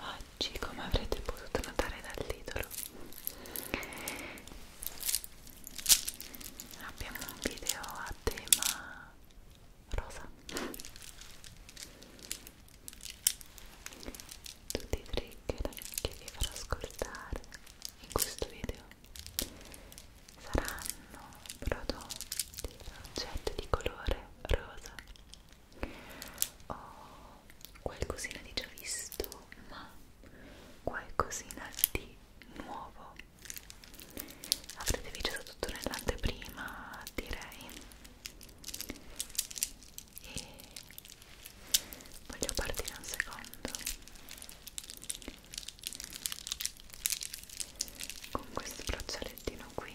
Oggi, come avrete potuto notare dal titolo, abbiamo un video a tema rosa. Tutti i trigger che vi farò ascoltare in questo video saranno prodotti da oggetti di colore rosa ho oh, qualcosina di già visto ma qualcosina di nuovo avrete visto tutto nell'anteprima direi e voglio partire un secondo con questo braccialettino qui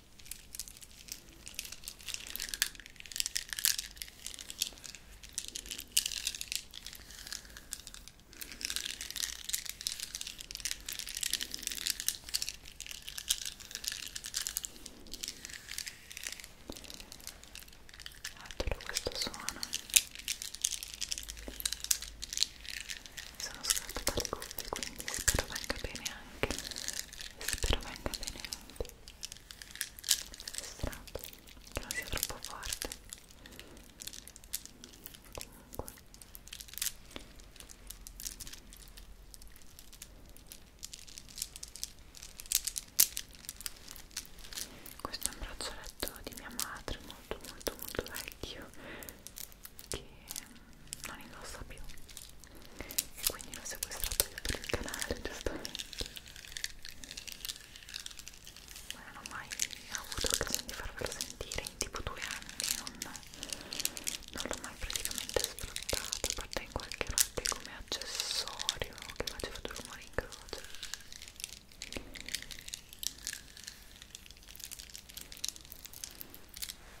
Adoro questo suono mi sono scappata le cuffie quindi spero venga bene anche spero venga bene anche strato che non sia troppo forte comunque questo è un braccialetto di mia madre molto molto molto vecchio che non indossa più e quindi l'ho sequestrato io per il canale giustamente ma non ho mai avuto occasione di farvelo sentire in tipo due anni non, non l'ho mai praticamente sfruttato a parte in qualche roba come accessorio che faceva due rumori in croce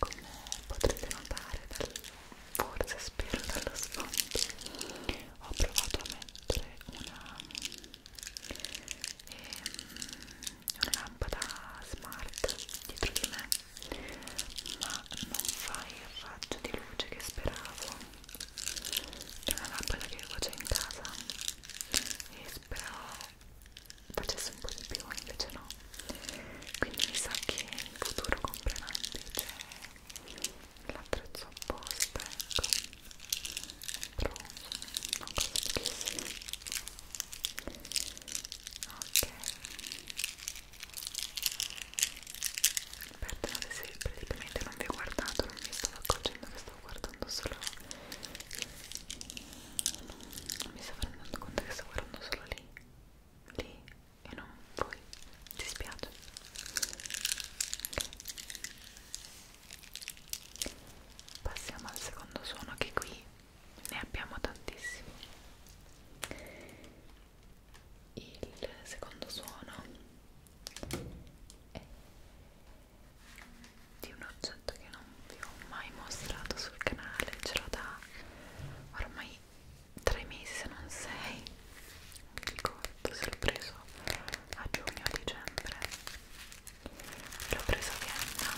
come potrete notare dal, forse spero dallo sfondo ho provato a mettere una, ehm, una lampada smart dietro di me ma non fa il raggio di luce che speravo è una lampada che avevo già in casa e speravo facesse un po' di più invece no quindi mi sa che in futuro compreranno c'è cioè, l'attrezzo apposta ecco però una cosa bellissima ok perdonate se praticamente non vi ho guardato non mi stavo accorgendo che stavo guardando solo non mi stavo rendendo conto che stavo guardando solo lì lì e non voi, ti spiace okay. passiamo al secondo suono che qui ne abbiamo tantissimi il secondo suono è di un oggetto che non vi ho mai mostrato sul canale ce l'ho da ormai tre mesi se non sei non mi ricordo se l'ho preso a giugno o dicembre l'ho preso a Vienna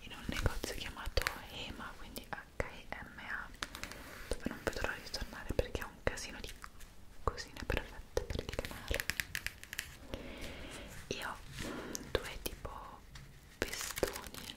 in un negozio chiamato HEMA quindi HEMA dove non vedo l'ora di tornare perché è un casino di cosine perfette per il canale io ho due tipo pestoni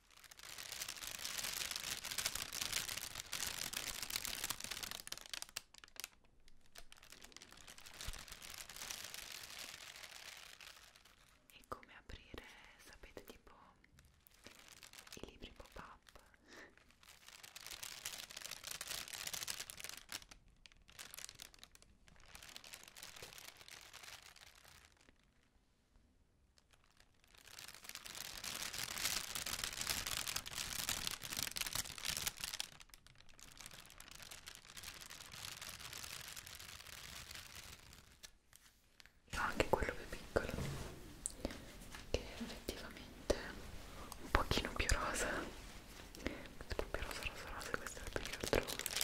E come aprire, sapete, tipo i libri pop-up. C'ho anche quello più piccolo che è effettivamente un pochino più rosa questo è proprio rosa rosa rosa e questo è più che altro rosa arancione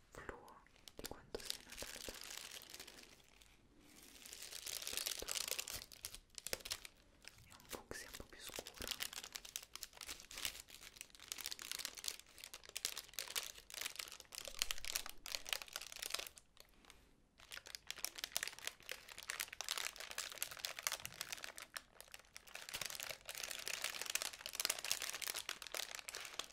fluo di quanto sia Natale questo è un fucsia un po' più scuro questo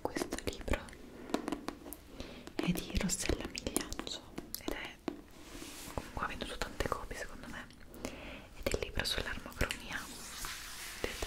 Questo libro è di Rossella Migliaccio ed è comunque ha venduto tante copie secondo me ed è il libro sull'armocromia vedete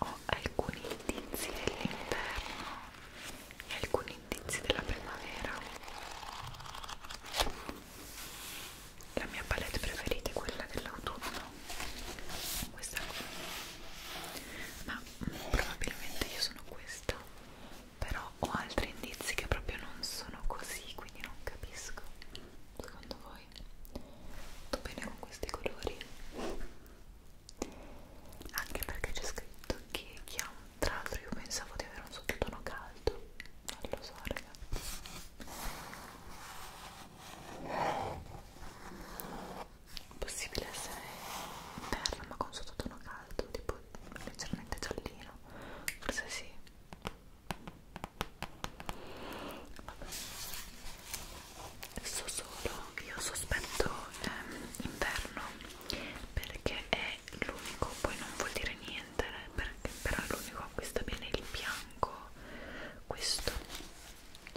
ho alcuni indizi dell'inverno e alcuni indizi della primavera la mia palette preferita è quella dell'autunno questa qui ma mm, probabilmente io sono questa però ho altri indizi che proprio non sono così quindi non capisco secondo voi sto bene con questi colori anche perché c'è scritto che chi ha un tra l'altro io pensavo di avere un sottotono caldo non lo so raga possibile essere terra ma con sottotono caldo tipo leggermente giallino forse sì Vabbè so solo io sospetto ehm, inverno perché è l'unico poi non vuol dire niente perché, però è l'unico acquista bene il bianco questo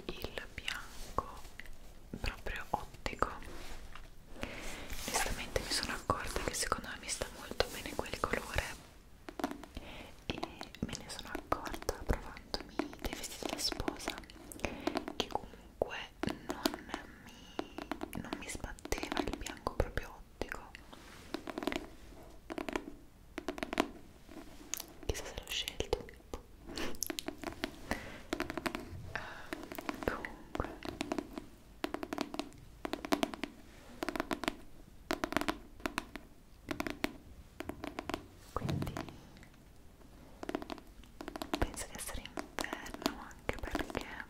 il bianco proprio ottico onestamente mi sono accorta che secondo me mi sta molto bene quel colore e me ne sono accorta provandomi dei vestiti da sposa che comunque non mi, non mi sbatteva il bianco proprio ottico chissà se l'ho scelto uh, comunque quindi penso di essere inverno anche perché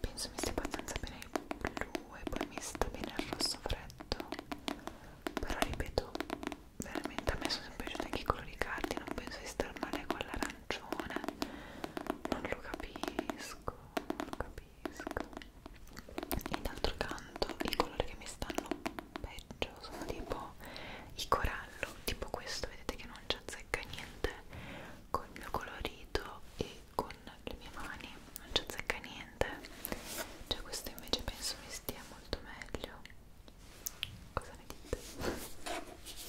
penso mi stia abbastanza bene il blu e poi mi sta bene il rosso freddo però ripeto veramente a me sono sempre piaciuti anche i colori cardi non penso di star male con l'arancione non lo capisco non lo capisco e d'altro canto i colori che mi stanno peggio sono tipo i corallo tipo questo vedete che non ci azzecca niente con il mio colorito e con le mie mani non ci azzecca niente cioè questo invece penso mi stia molto meglio cosa ne dite? Touch.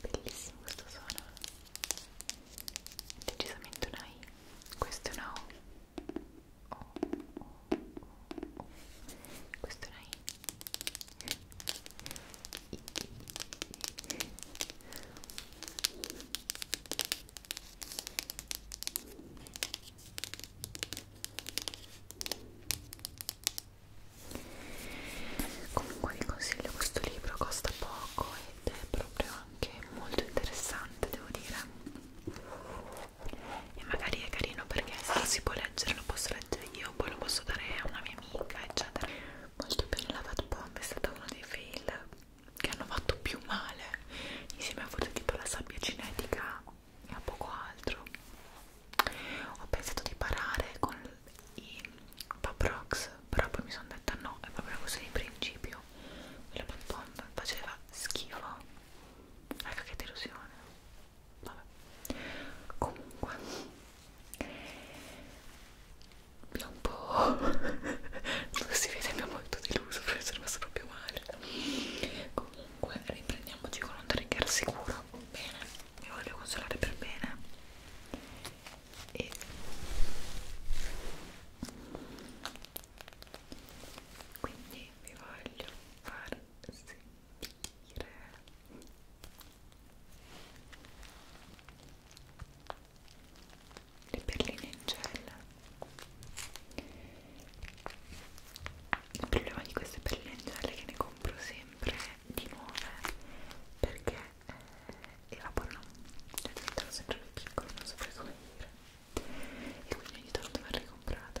Bellissimo questo suono. Decisamente una I. Questo è una O. O, O, O, O. Questo è una I. Comunque vi consiglio questo libro, costa poco ed è proprio anche molto interessante, devo dire. E magari è carino perché se lo si può leggere, lo posso leggere io, poi lo posso dare a una mia amica, eccetera molto bene la Fat Bomb è stata uno dei fail che hanno fatto più male insieme a forse tipo la sabbia cinetica e a poco altro ho pensato di parare con i Paprox però poi mi sono detta no è proprio così di principio la Fat Bomb faceva schifo ecco che delusione vabbè comunque mi ha un po'... non si vede, mi ha molto deluso, forse è rimasto proprio male. Comunque, riprendiamoci con un trigger sicuro. Bene, mi voglio consolare per bene. E... Quindi vi voglio far sentire le perline in gel il problema di queste perline in gel è che ne compro sempre di nuove perché eh, evaporano cioè diventano sempre più piccole non so come dire e quindi ogni tanto vanno ricomprate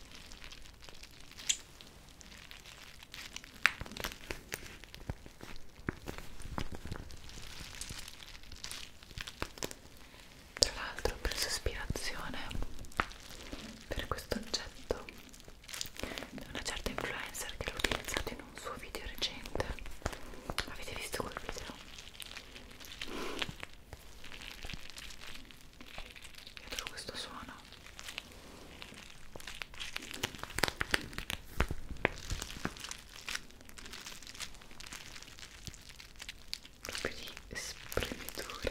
Tra l'altro ho preso ispirazione per questo oggetto da una certa influencer che l'ho utilizzato in un suo video recente. Avete visto quel video? dietro questo suono proprio di spremitura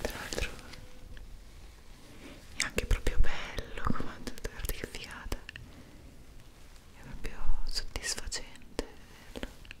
Tra l'altro è anche proprio bello, come tutto, guarda che figata. È proprio soddisfacente vederlo.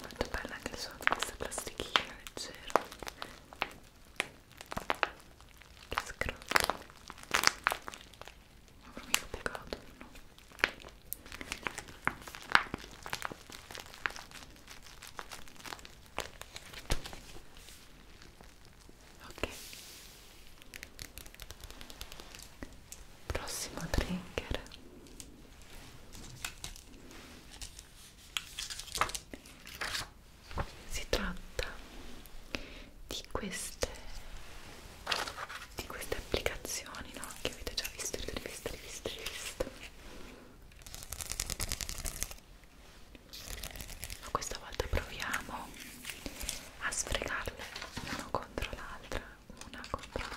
Molto bella anche il suono di questa plastichina leggera che scrotto non avrò mica piegato no? ok prossimo trigger si tratta di queste di queste applicazioni no? che avete già visto rivisto rivisto rivisto ma questa volta proviamo a sfregarle una contro l'altra, una contro l'altra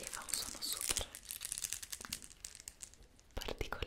e fa un suono super particolare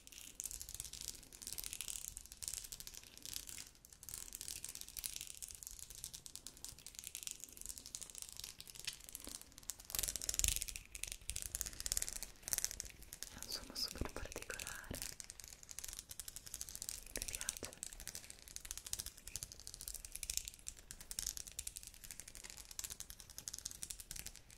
è un suono super particolare mi piace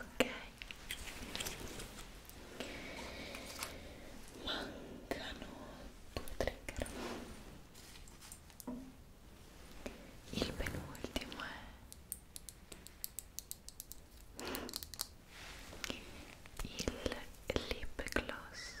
ok mancano due trigger il penultimo è il lip gloss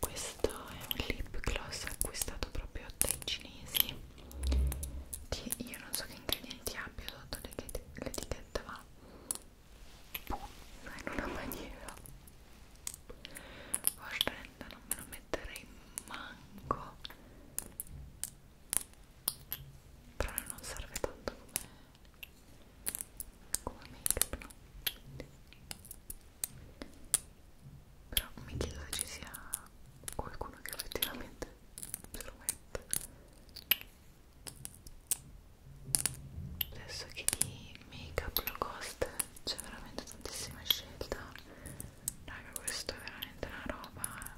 Questo è un lip gloss acquistato proprio dai cinesi che io non so che ingredienti abbia sotto l'etichetta ma in una maniera orrenda, non me lo metterei manco però non serve tanto come come make up, no? però mi chiedo se ci sia qualcuno che effettivamente se lo mette adesso che di make up lo costa c'è veramente tantissima scelta raga questo è veramente una roba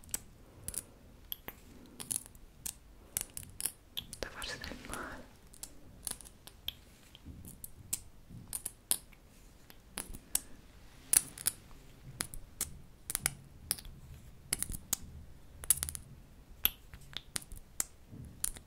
da farsi del male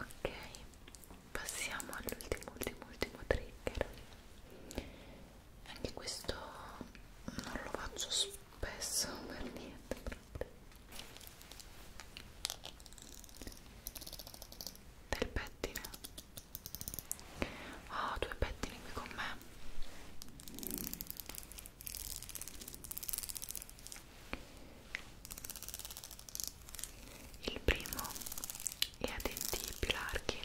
ok passiamo all'ultimo ultimo ultimo trigger anche questo non lo faccio spesso per niente proprio del pettine ho oh, ah, due pettini qui con me il primo è a denti più larghi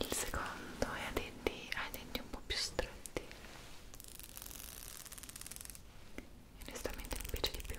il secondo è a denti, ai denti un po' più stretti e onestamente mi piace di più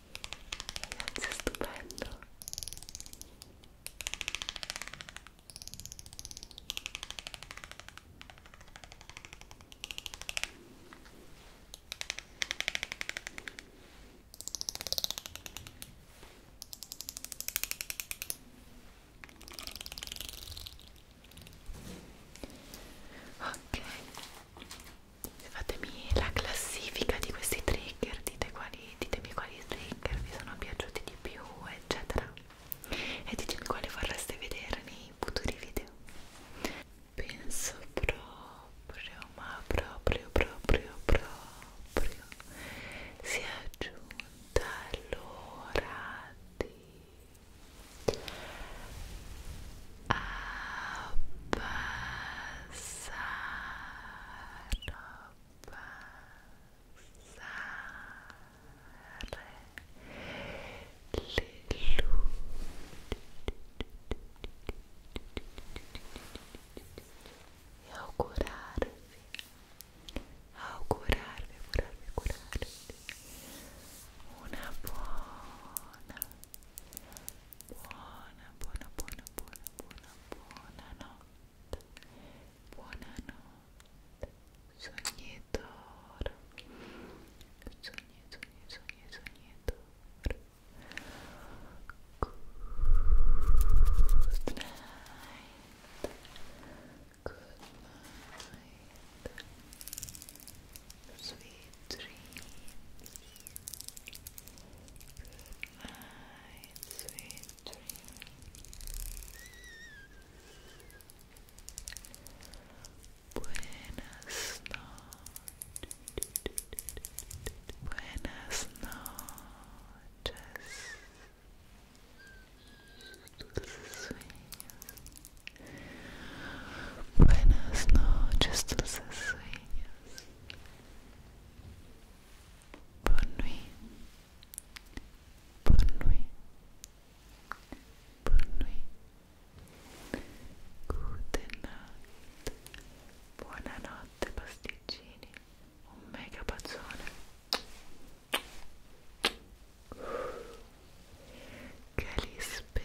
Ragazzi, è stupendo. Ok, fatemi la classifica di questi trigger dite quali, ditemi quali trigger vi sono piaciuti di più eccetera e ditemi quali vorreste vedere nei futuri video penso proprio ma proprio proprio proprio si è giunta l'ora di abbassare e augurarvi augurarvi augurarvi augurarvi una buona Buona, buona, buona, buona, buona, buona notte. Buonanotte. Sognatore. Sogni, sogni, sogni, sognatore. Good night. Good night. Sweet dreams. Night, sweet dreams. Buenas noches. Buenas noches. Dulces sueños. Buenas noches, dulces sueños. Bonne nuit. Bonne nuit. Bonne nuit. Gute pasticcini. Un mega pazzone. Che